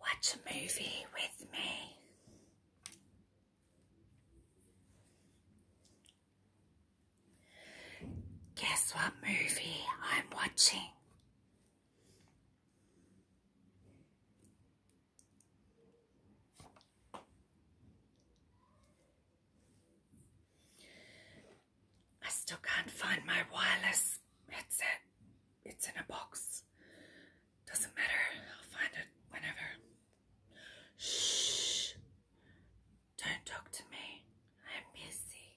Watch a movie with me. Guess what movie I'm watching? I still can't find my wireless headset. It's in a box. Doesn't matter. I'll find it whenever. Shh. Don't talk to me. I'm busy.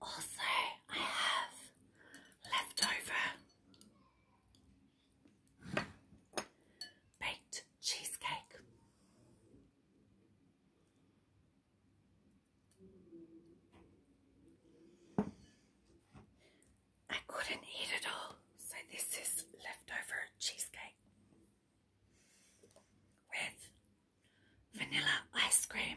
Also, I have leftover baked cheesecake. I couldn't eat it all, so this is leftover cheesecake with vanilla ice cream.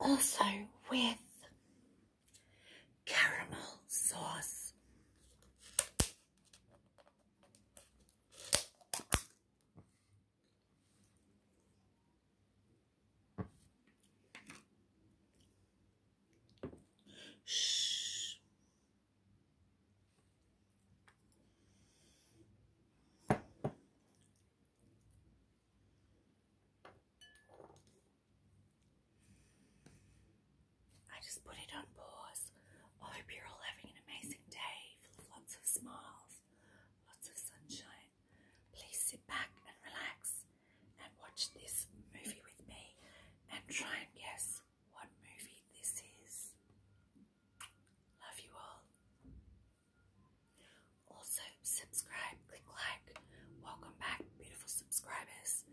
Also with caramel sauce. Shh. I just put it on pause. I hope you're all having an amazing day full of lots of smiles, lots of sunshine. Please sit back and relax and watch this movie with me and try and guess what movie this is. Love you all. Also, subscribe, click like. Welcome back, beautiful subscribers.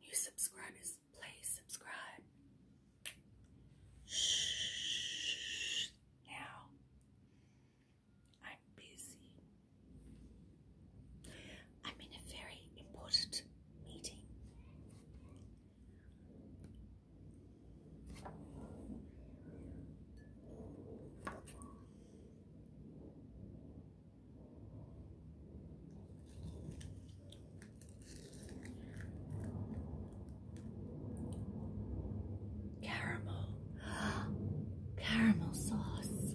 New subscribers, please subscribe. Shh. Now, I'm busy. I'm in a very important meeting. Caramel, caramel sauce.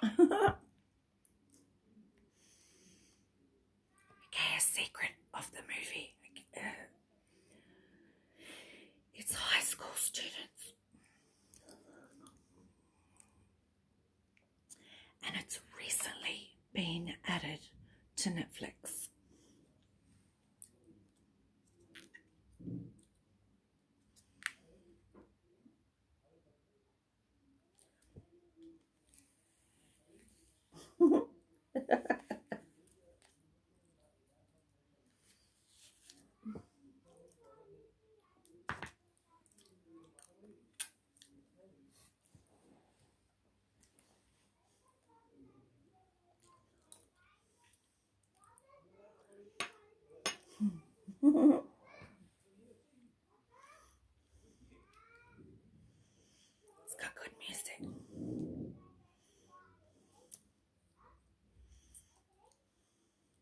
okay, a secret of the movie. Uh, it's high school students and it's recently been added to Netflix. it's got good music.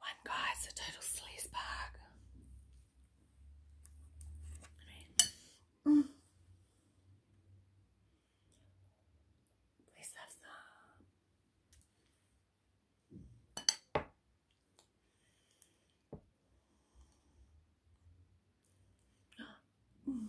One guy's a total sleazebag. I mm. mean, have some. Mm.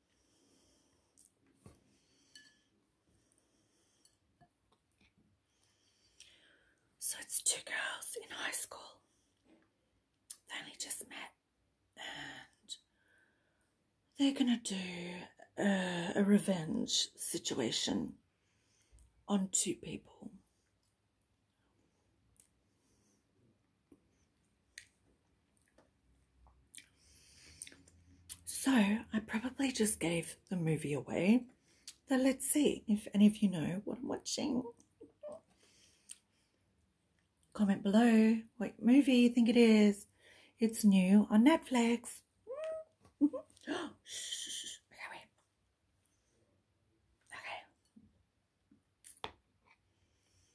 So it's two girls in high school. They only just met and they're going to do a, uh, a revenge situation on two people. So I probably just gave the movie away. So let's see if any of you know what I'm watching. Comment below what movie you think it is. It's new on Netflix.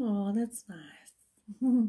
Oh, that's nice.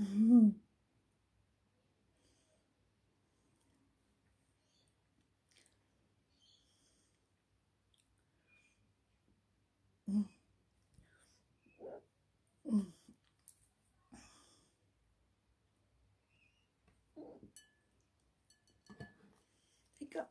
Mm-hmm. Pick up.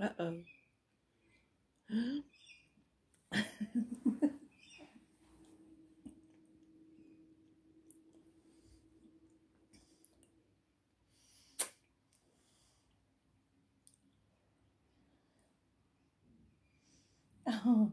Uh oh. oh.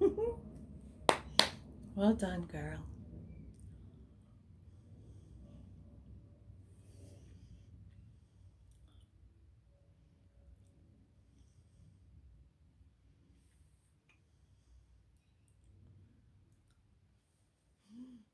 well done, girl.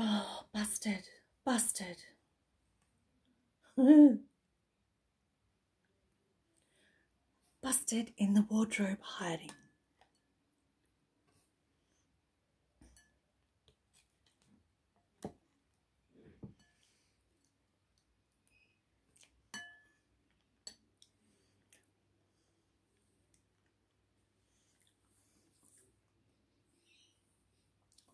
Oh, busted, busted. Busted in the wardrobe hiding.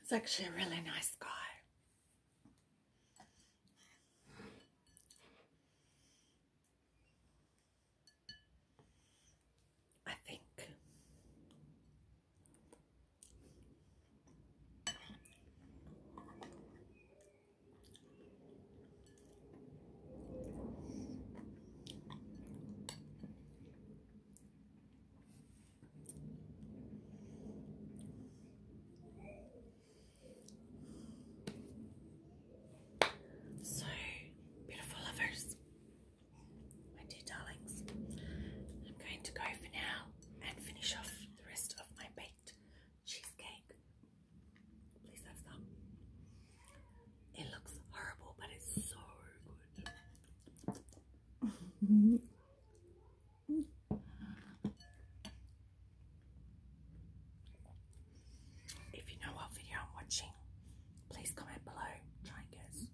He's actually a really nice guy. I think. So, beautiful lovers, my dear darlings, I'm going to go for now and finish off the rest of my baked cheesecake. Please have some. It looks horrible, but it's so good. If you know what video I'm watching, please comment below. Try and guess.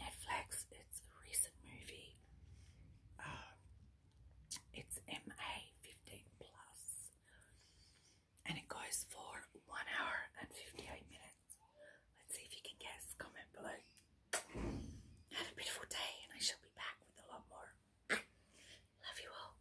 Netflix it's a recent movie. Um, it's MA 15 plus, and it goes for one hour and 58 minutes. Let's see if you can guess. Comment below. Have a beautiful day, and I shall be back with a lot more. Love you all.